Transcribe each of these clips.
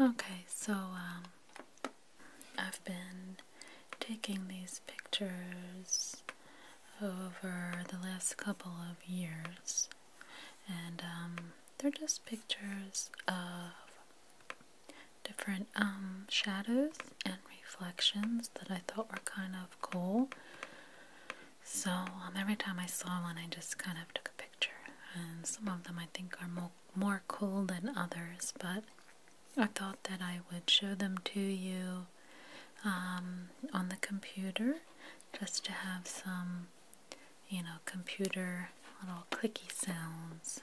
Okay, so um, I've been taking these pictures over the last couple of years, and um, they're just pictures of different um, shadows and reflections that I thought were kind of cool. So every time I saw one, I just kind of took a picture and some of them I think are more, cool than others, but I thought that I would show them to you um, on the computer just to have some, you know, computer little clicky sounds.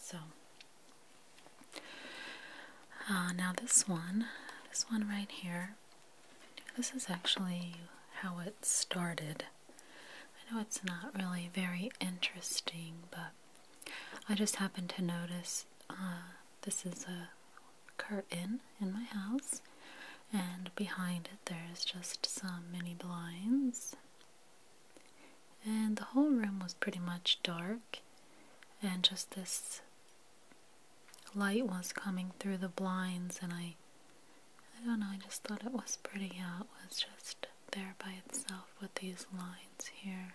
So, uh, now this one, this one right here, this is actually how it started. I know it's not really very interesting, but I just happened to notice uh, this is a curtain in my house, and behind it there's just some mini blinds. And the whole room was pretty much dark, and just this light was coming through the blinds, and I I don't know, I just thought it was pretty how it was just there by itself with these lines here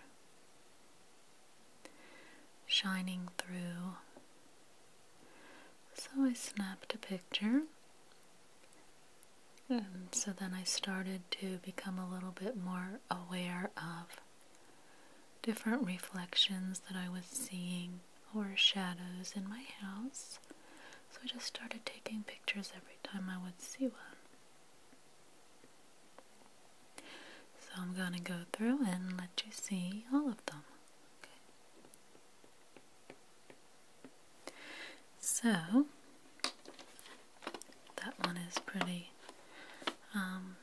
shining through. So I snapped a picture. And so then I started to become a little bit more aware of different reflections that I was seeing or shadows in my house. So I just started taking pictures every time I would see one. So I'm going to go through and let you see all of them. So that one is pretty um,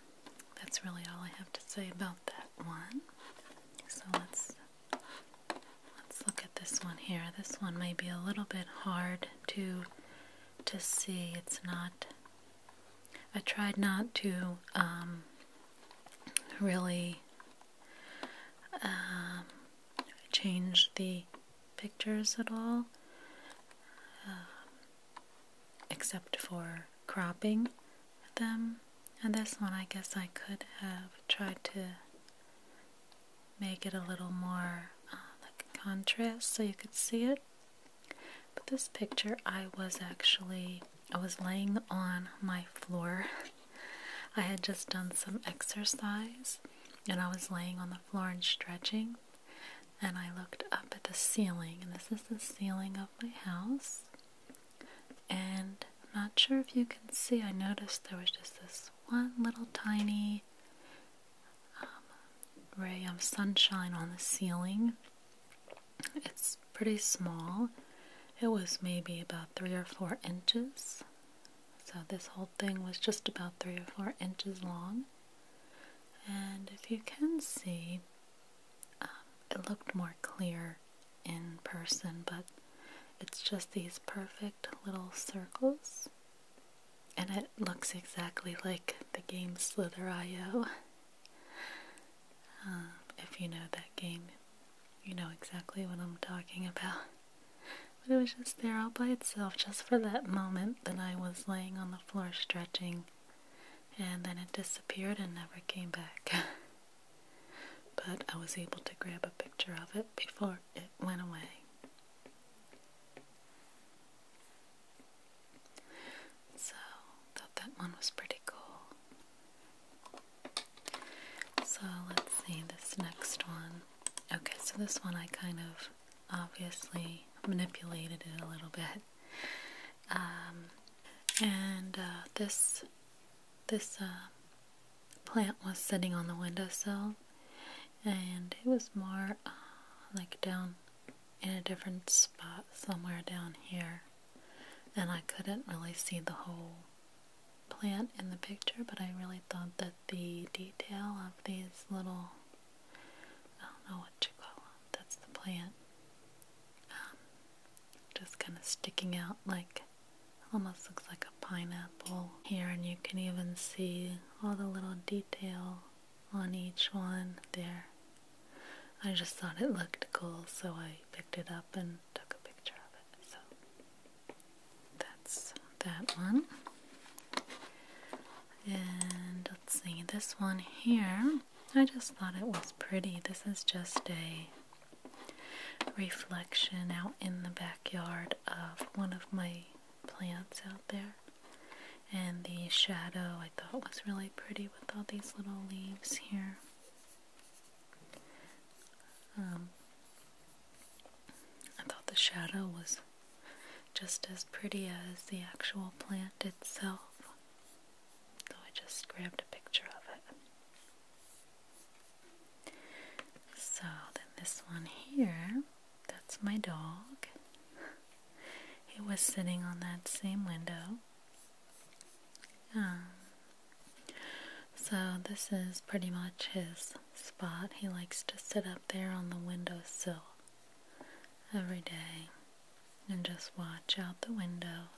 that's really all I have to say about that one. So let's Let's look at this one here. This one may be a little bit hard to to see. It's not. I tried not to um, really um, change the pictures at all, um, except for cropping them. And this one, I guess I could have tried to make it a little more uh, like a contrast so you could see it. But this picture, I was actually, I was laying on my floor. I had just done some exercise and I was laying on the floor and stretching and I looked up at the ceiling and this is the ceiling of my house and I'm not sure if you can see I noticed there was just this one little tiny um, ray of sunshine on the ceiling. It's pretty small. It was maybe about three or four inches. So this whole thing was just about three or four inches long. And if you can see, um, it looked more clear in person, but it's just these perfect little circles. And it looks exactly like the game Slither.io. Um, if you know that game, you know exactly what I'm talking about. But it was just there all by itself, just for that moment that I was laying on the floor stretching, and then it disappeared and never came back. but I was able to grab a picture of it before it went away. So, thought that one was pretty cool. So, let's see this next one. Okay, so this one I kind of obviously manipulated it a little bit. Um, and uh, this this uh, plant was sitting on the windowsill, and it was more uh, like down in a different spot somewhere down here. And I couldn't really see the whole plant in the picture, but I really thought that the detail of these little, I don't know what you call that's the plant, um, just kind of sticking out like Almost looks like a pineapple here, and you can even see all the little detail on each one there. I just thought it looked cool, so I picked it up and took a picture of it. So that's that one. And let's see, this one here, I just thought it was pretty. This is just a reflection out in the backyard of one of my plants out there. And the shadow I thought was really pretty with all these little leaves here. Um, I thought the shadow was just as pretty as the actual plant itself. So I just grabbed a picture of it. So then this one here, that's my dog. he was sitting on that same window. Um, so this is pretty much his spot. He likes to sit up there on the windowsill every day and just watch out the window.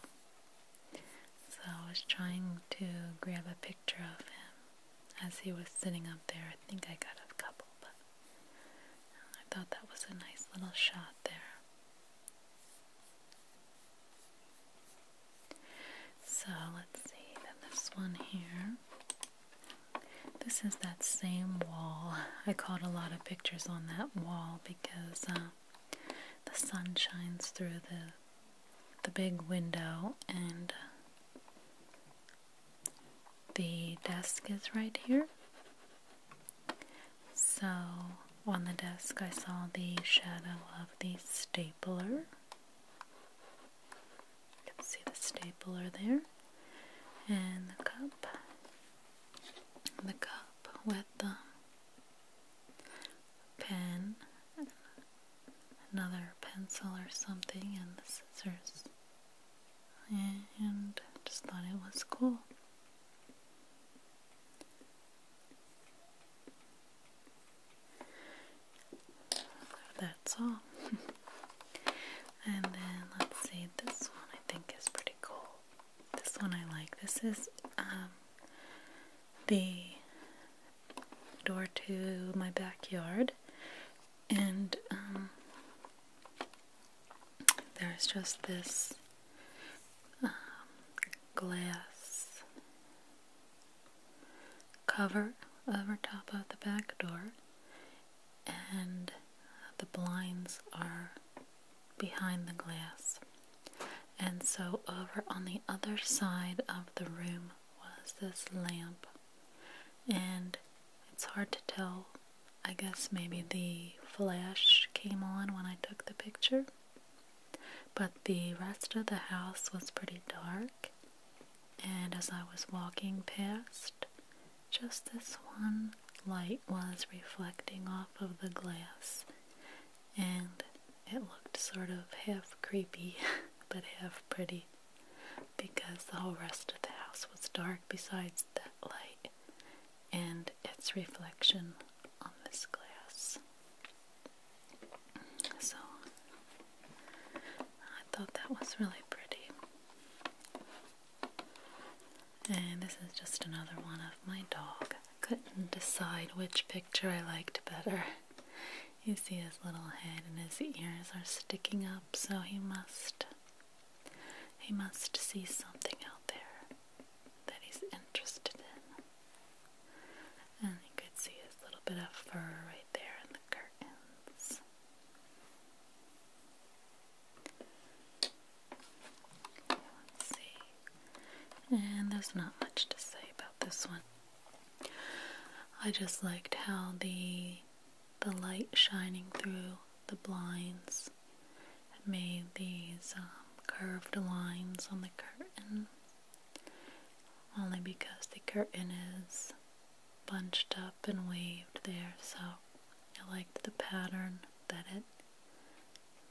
So I was trying to grab a picture of him as he was sitting up there. I think I got a couple, but I thought that was a nice little shot there. So let's see, then this one here. This is that same wall. I caught a lot of pictures on that wall because uh, the sun shines through the the big window, and the desk is right here. So, on the desk, I saw the shadow of the stapler. You can see the stapler there, and the cup. The cup with the pen another pencil or something and the scissors. And just thought it was cool. that's all. and then let's see, this one I think is pretty cool. This one I like. This is um, the door to my backyard, and um, there's just this um, glass cover over top of the back door, and the blinds are behind the glass. And so, over on the other side of the room was this lamp, and it's hard to tell. I guess maybe the flash came on when I took the picture, but the rest of the house was pretty dark. And as I was walking past, just this one light was reflecting off of the glass, and it looked sort of half creepy but half pretty because the whole rest of the house was dark besides that light and its reflection on this glass. So I thought that was really pretty. And this is just another one of my dog. I couldn't decide which picture I liked better. You see his little head and his ears are sticking up, so he must he must see something out there that he's interested in. And you could see his little bit of fur right there in the curtains. let's see. And there's not much to say about this one. I just liked how the the light shining through the blinds made these um, curved lines on the curtain only because the curtain is bunched up and waved there so I liked the pattern that it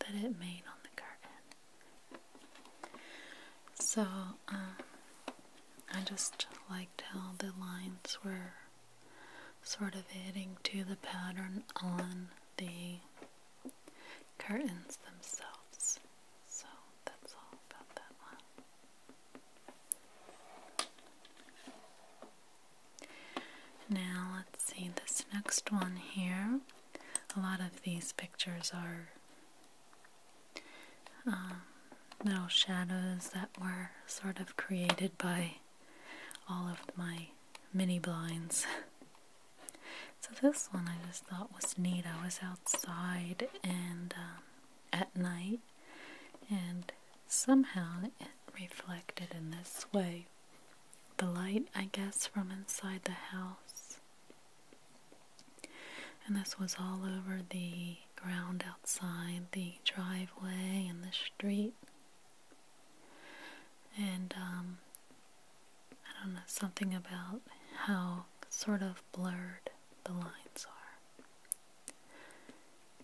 that it made on the curtain so um, I just liked how the lines were sort of adding to the pattern on the curtains themselves. So that's all about that one. Now let's see this next one here. A lot of these pictures are little uh, shadows that were sort of created by all of my mini blinds. so this one I just thought was neat. I was outside and um, at night and somehow it reflected in this way. The light, I guess, from inside the house. And this was all over the ground outside the driveway and the street. And um, I don't know, something about how sort of blurred the lines are.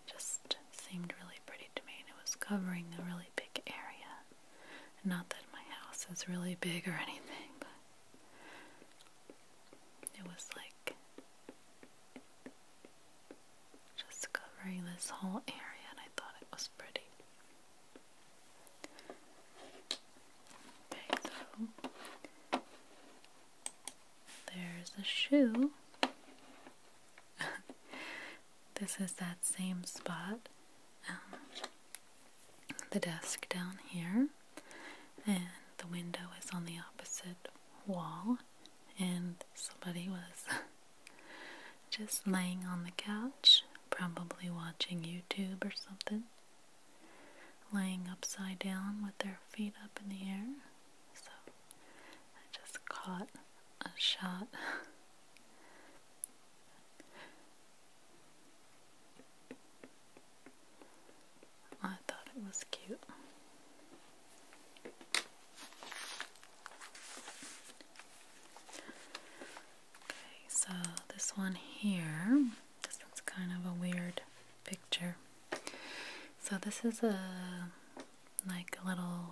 just seemed really pretty to me, and it was covering a really big area. Not that my house is really big or anything, but it was like just covering this whole area, and I thought it was pretty. Okay, so there's a shoe. this is that same spot. Um, the desk down here, and the window is on the opposite wall, and somebody was just laying on the couch, probably watching YouTube or something, laying upside down with their feet up in the air. So I just caught a shot. I thought it was cute. Okay, so this one here, this one's kind of a weird picture. So this is a like a little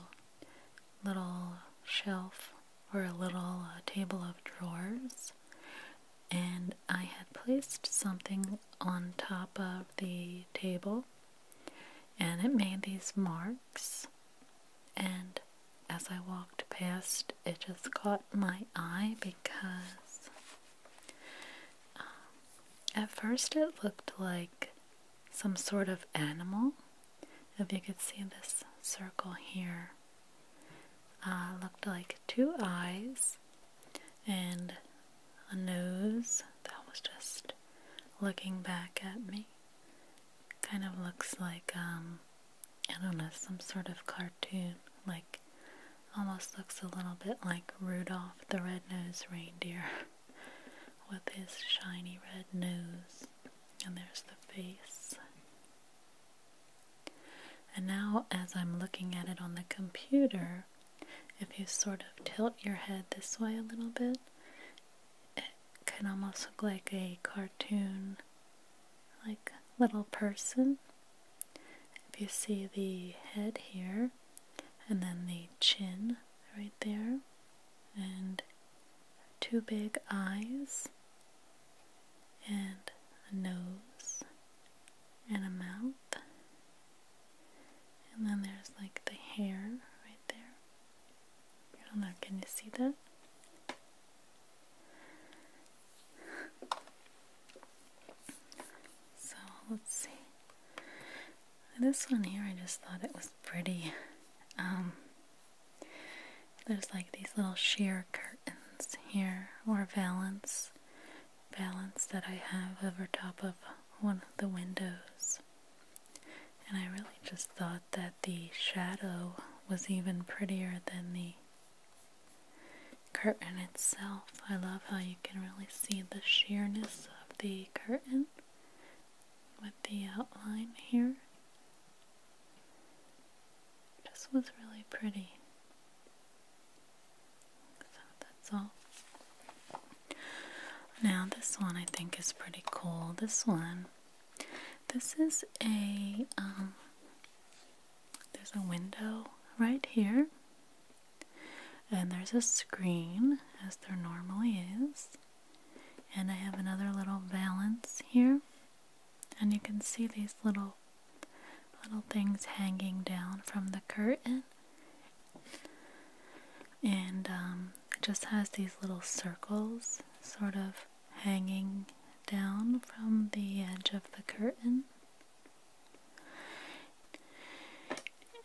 little shelf or a little uh, table of drawers and I had placed something on top of the table and it made these marks and as I walked past it just caught my eye because um, at first it looked like some sort of animal if you could see this circle here uh, looked like two eyes and a nose that was just looking back at me. Kind of looks like, um, I don't know, some sort of cartoon. Like, almost looks a little bit like Rudolph the Red-Nosed Reindeer with his shiny red nose. And there's the face. And now, as I'm looking at it on the computer, if you sort of tilt your head this way a little bit, it can almost look like a cartoon, like little person. If you see the head here, and then the chin right there, and two big eyes, and a nose, and a mouth. And then there's like the hair right there. I am not gonna see that? So let's see. This one here, I just thought it was pretty. Um, there's like these little sheer curtains here, or valance, balance that I have over top of one of the windows. And I really just thought that the shadow was even prettier than the curtain itself. I love how you can really see the sheerness of the curtain with the outline here. This was really pretty. So that's all. Now this one I think is pretty cool. This one, this is a um, there's a window right here, and there's a screen as there normally is, and I have another little valance here, and you can see these little little things hanging down from the curtain. And um, it just has these little circles sort of hanging down from the edge of the curtain.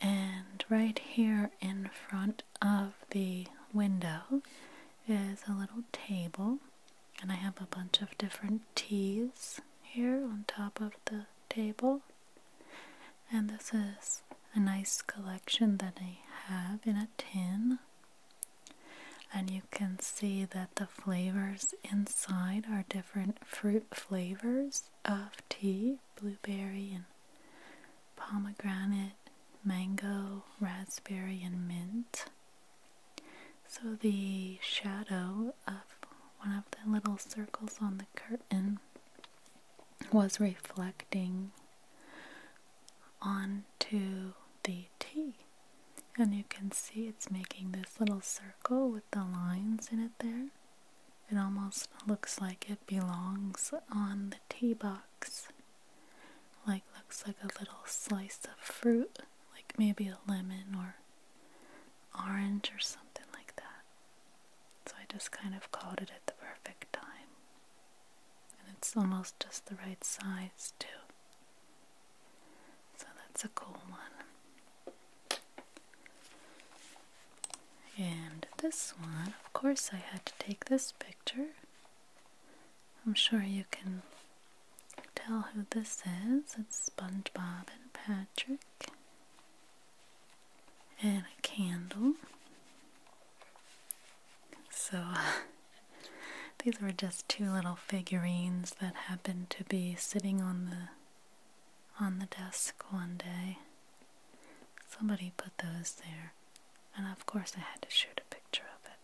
And right here in front of the window is a little table and I have a bunch of different teas here on top of the table. And this is a nice collection that I have in a tin. And you can see that the flavors inside are different fruit flavors of tea blueberry and pomegranate, mango, raspberry, and mint. So the shadow of one of the little circles on the curtain was reflecting onto the T. And you can see it's making this little circle with the lines in it there. It almost looks like it belongs on the tea box. Like, looks like a little slice of fruit like maybe a lemon or orange or something like that. So I just kind of caught it at the perfect time. And it's almost just the right size too. So that's a cool one. And this one, of course, I had to take this picture. I'm sure you can Tell who this is. It's SpongeBob and Patrick. And a candle. So, these were just two little figurines that happened to be sitting on the on the desk one day. Somebody put those there. And of course I had to shoot a picture of it.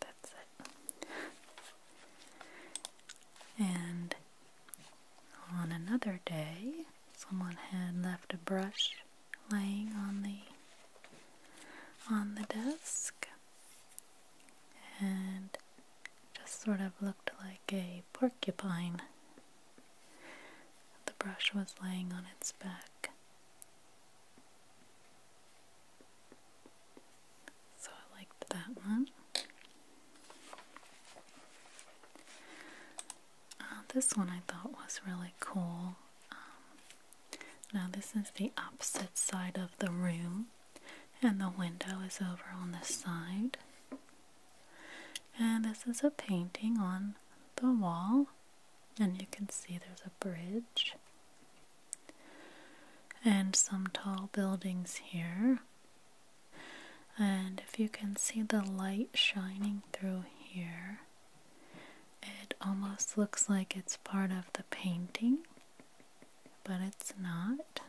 That's it. and on another day, someone had left a brush laying on the on the desk and just sort of looked like a porcupine. The brush was laying on its back. So I liked that one. Uh, this one I thought was really cool. Um, now, this is the opposite side of the room, and the window is over on this side. And this is a painting on the wall, and you can see there's a bridge and some tall buildings here. And if you can see the light shining through here, it almost looks like it's part of the painting, but it's not.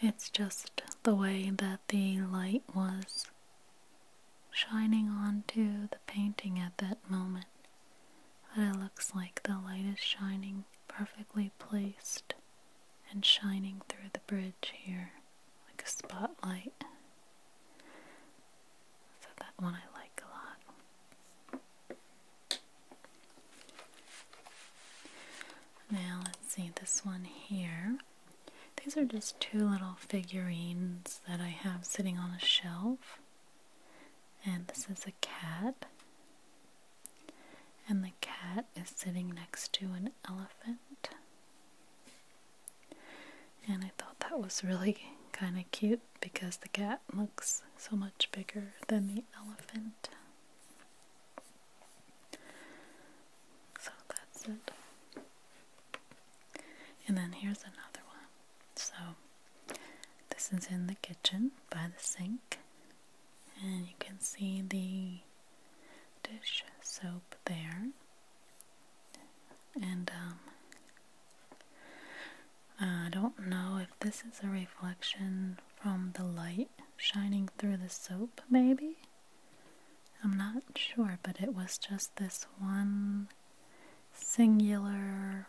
It's just the way that the light was shining onto the painting at that moment but it looks like the light is shining perfectly placed and shining through the bridge here like a spotlight. So that one I like a lot. Now let's see this one here. These are just two little figurines that I have sitting on a shelf. And this is a cat. And the cat is sitting next to an elephant. And I thought that was really kind of cute because the cat looks so much bigger than the elephant. So that's it. And then here's another one. So, this is in the kitchen by the sink, and you can see the dish soap there. And um, I don't know if this is a reflection from the light shining through the soap, maybe? I'm not sure, but it was just this one singular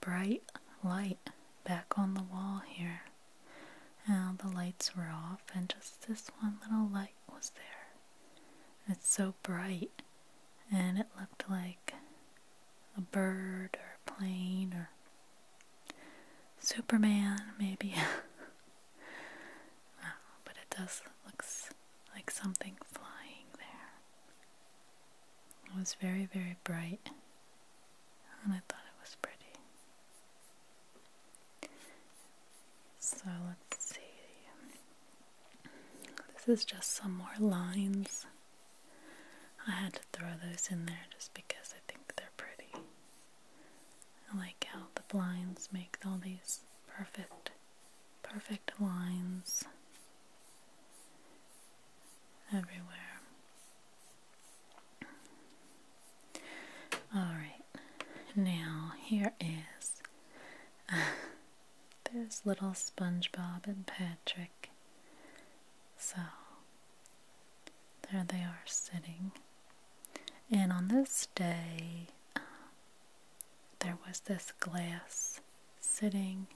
bright light back on the wall here. Now the lights were off and just this one little light was there. It's so bright and it looked like a bird or a plane or Superman maybe. but it does looks like something flying there. It was very, very bright, and I thought it was pretty. So let's see. This is just some more lines. I had to throw those in there just because I think they're pretty. I like how the blinds make all these perfect, perfect lines everywhere. Alright, now here is. There's little SpongeBob and Patrick. So, there they are sitting. And on this day, there was this glass sitting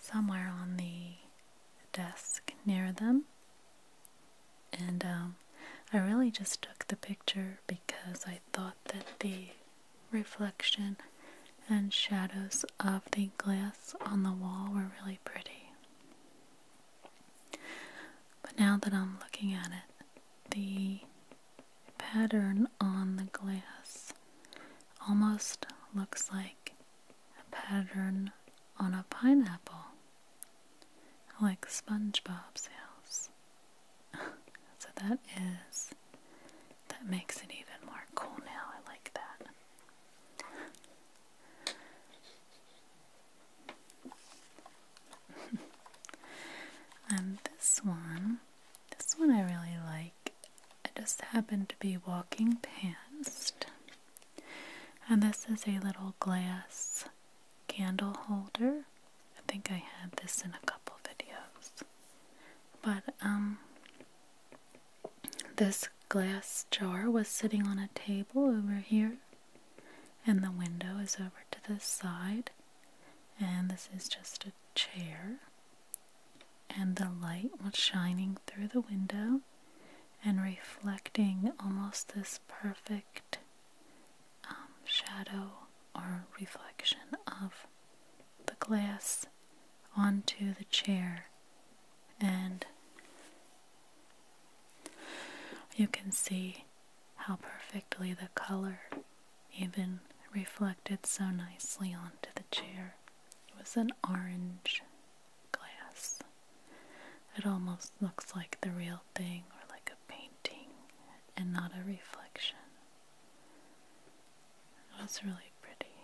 somewhere on the desk near them. And um, I really just took the picture because I thought that the reflection and shadows of the glass on the wall were really pretty. But now that I'm looking at it, the pattern on the glass almost looks like a pattern on a pineapple, like SpongeBob's house. so that is, that makes it even more cool now. I like that. and this one this one I really like. I just happened to be walking past. And this is a little glass candle holder. I think I had this in a couple videos. But um this glass jar was sitting on a table over here and the window is over to this side and this is just a chair and the light was shining through the window and reflecting almost this perfect um, shadow or reflection of the glass onto the chair and you can see how perfectly the color even reflected so nicely onto the chair. It was an orange glass. It almost looks like the real thing or like a painting and not a reflection. It was really pretty.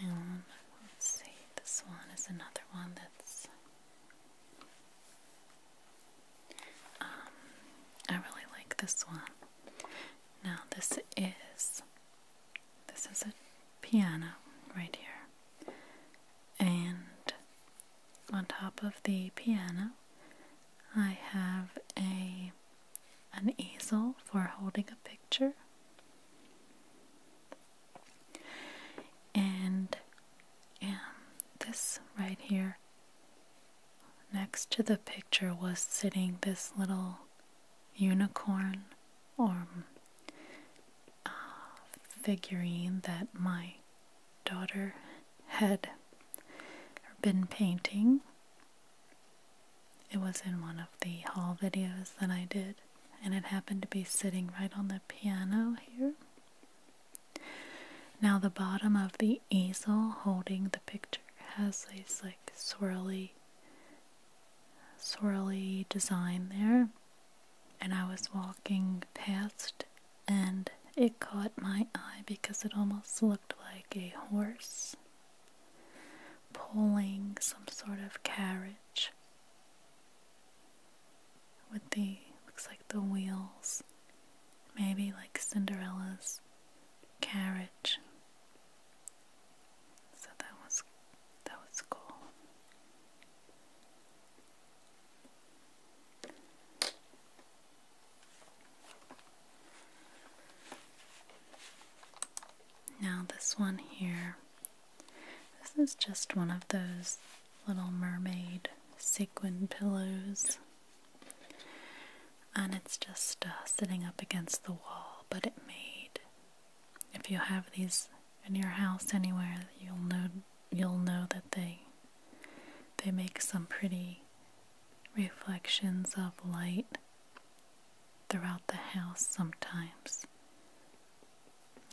And let's see, this one is another one that's um, I really like this one. Now this is this is a piano right here. And on top of the piano I have a an easel for holding a picture. And and this right here next to the picture was sitting this little unicorn or uh, figurine that my daughter had been painting. It was in one of the haul videos that I did, and it happened to be sitting right on the piano here. Now, the bottom of the easel holding the picture has this like swirly, swirly design there. And I was walking past and it caught my eye because it almost looked like a horse pulling some sort of carriage with the looks like the wheels, maybe like Cinderella's carriage. So that was that was cool. Now, this one here, this is just one of those Little Mermaid sequin pillows. And it's just uh, sitting up against the wall, but it made. If you have these in your house anywhere, you'll know you'll know that they they make some pretty reflections of light throughout the house sometimes.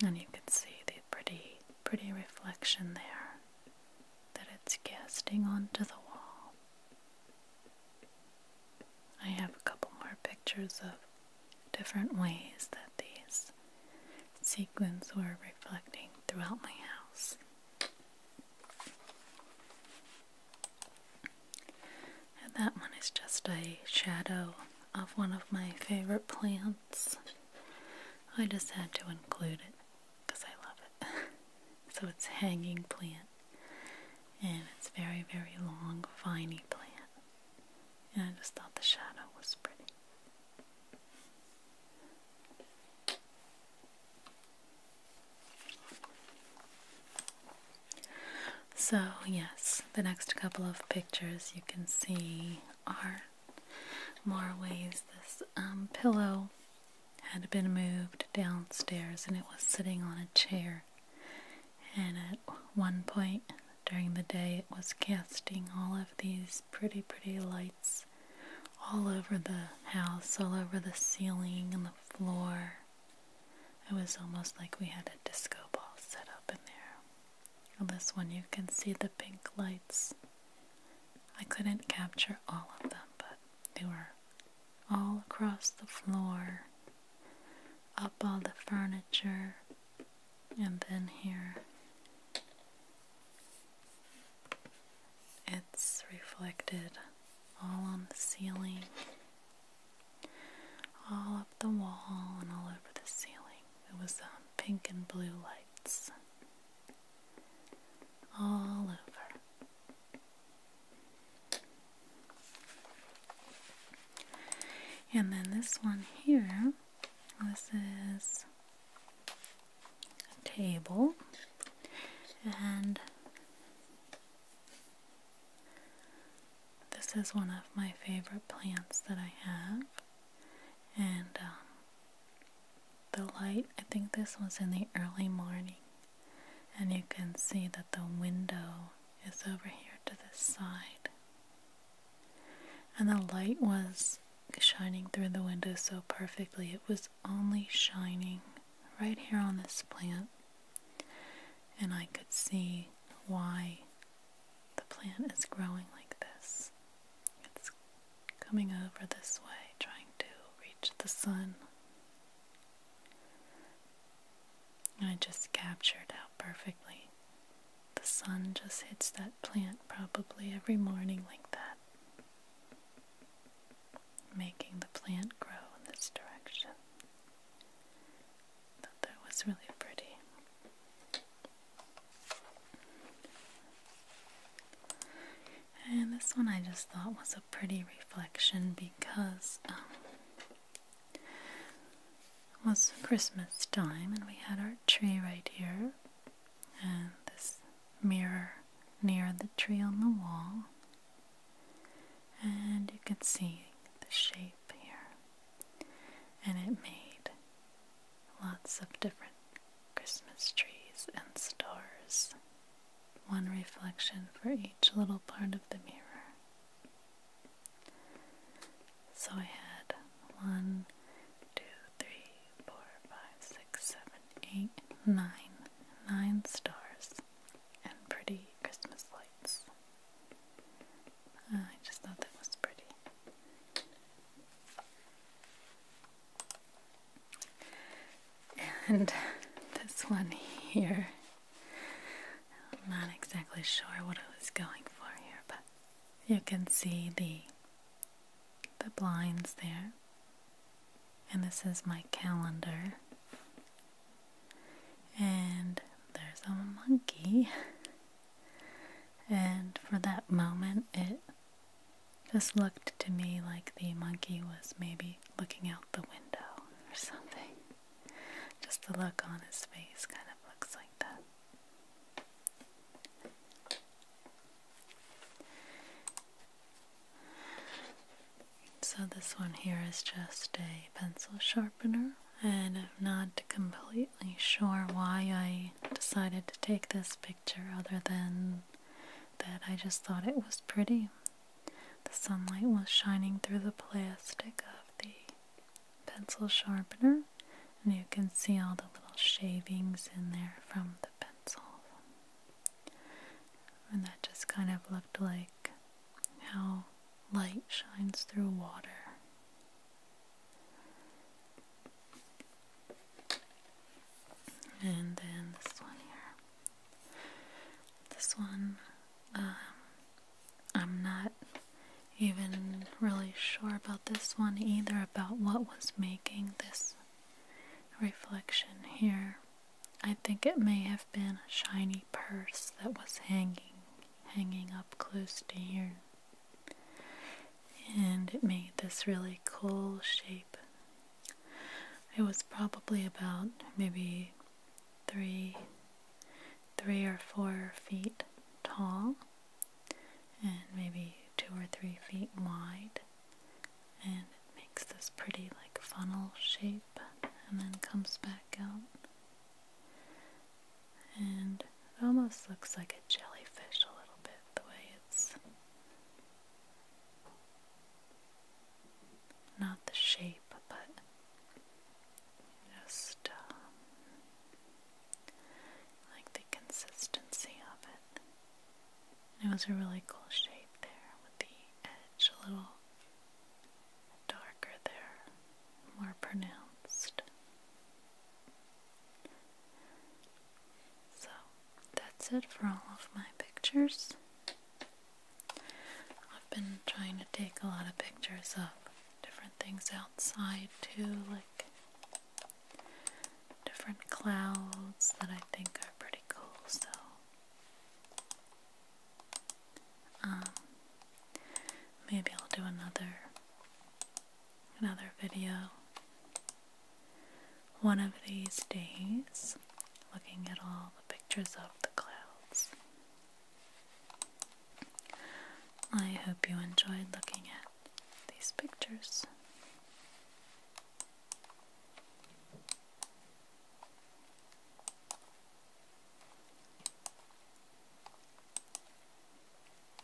And you can see the pretty pretty reflection there that it's casting onto the wall. I have a couple more pictures of different ways that these sequins were reflecting throughout my house. And that one is just a shadow of one of my favorite plants. I just had to include it because I love it. so it's hanging plant and it's very, very long, viny plant. And I just thought the shadow was pretty. So, yes, the next couple of pictures you can see are more ways. This um, pillow had been moved downstairs and it was sitting on a chair. And at one point during the day, it was casting all of these pretty, pretty lights all over the house, all over the ceiling and the floor. It was almost like we had a disco ball set up in there. On this one you can see the pink lights. I couldn't capture all of them, but they were all across the floor, up all the furniture, and then here. It's reflected all on the ceiling, all up the wall, and all over the ceiling. It was um, pink and blue lights all over. And then this one here, this is a table and this is one of my favorite plants that I have, and um, the light, I think this was in the early morning, and you can see that the window is over here to the side. And the light was shining through the window so perfectly, it was only shining right here on this plant, and I could see why the plant is growing like this. It's coming over this way, trying to reach the sun. I just captured how perfectly the sun just hits that plant probably every morning like that, making the plant grow in this direction. I that was really pretty. And this one I just thought was a pretty reflection because um, it was Christmas time and we had our tree right here and this mirror near the tree on the wall. And you could see the shape here. And it made Lots of different Christmas trees and stars. One reflection for each little part of the mirror. So I had one, two, three, four, five, six, seven, eight, nine, nine stars and pretty Christmas lights. I just thought that was pretty. And this one here, I'm not exactly sure what I was going for here, but you can see the the blinds there. And this is my calendar. And there's a monkey. And for that moment, it just looked to me like the monkey was maybe looking out the window or something. Just the look on his face kind of looks like that. So this one here is just a pencil sharpener and I'm not completely sure why I decided to take this picture other than that I just thought it was pretty. The sunlight was shining through the plastic of the pencil sharpener, and you can see all the little shavings in there from the pencil. And that just kind of looked like how light shines through water. And then this one here. This one, um, I'm not even really sure about this one either, about what was making this reflection here. I think it may have been a shiny purse that was hanging, hanging up close to here and it made this really cool shape. It was probably about maybe three, three or four feet tall, and maybe two or three feet wide, and it makes this pretty like funnel shape, and then comes back out, and it almost looks like a jellyfish a little bit the way not the shape, but just um, like the consistency of it. It was a really cool shape there with the edge a little darker there, more pronounced. So that's it for all of my pictures. I've been trying to take a lot of pictures of different things outside too, like different clouds that I think are pretty cool. So, um, maybe I'll do another another video one of these days looking at all the pictures of the clouds. I hope you enjoyed looking at these pictures.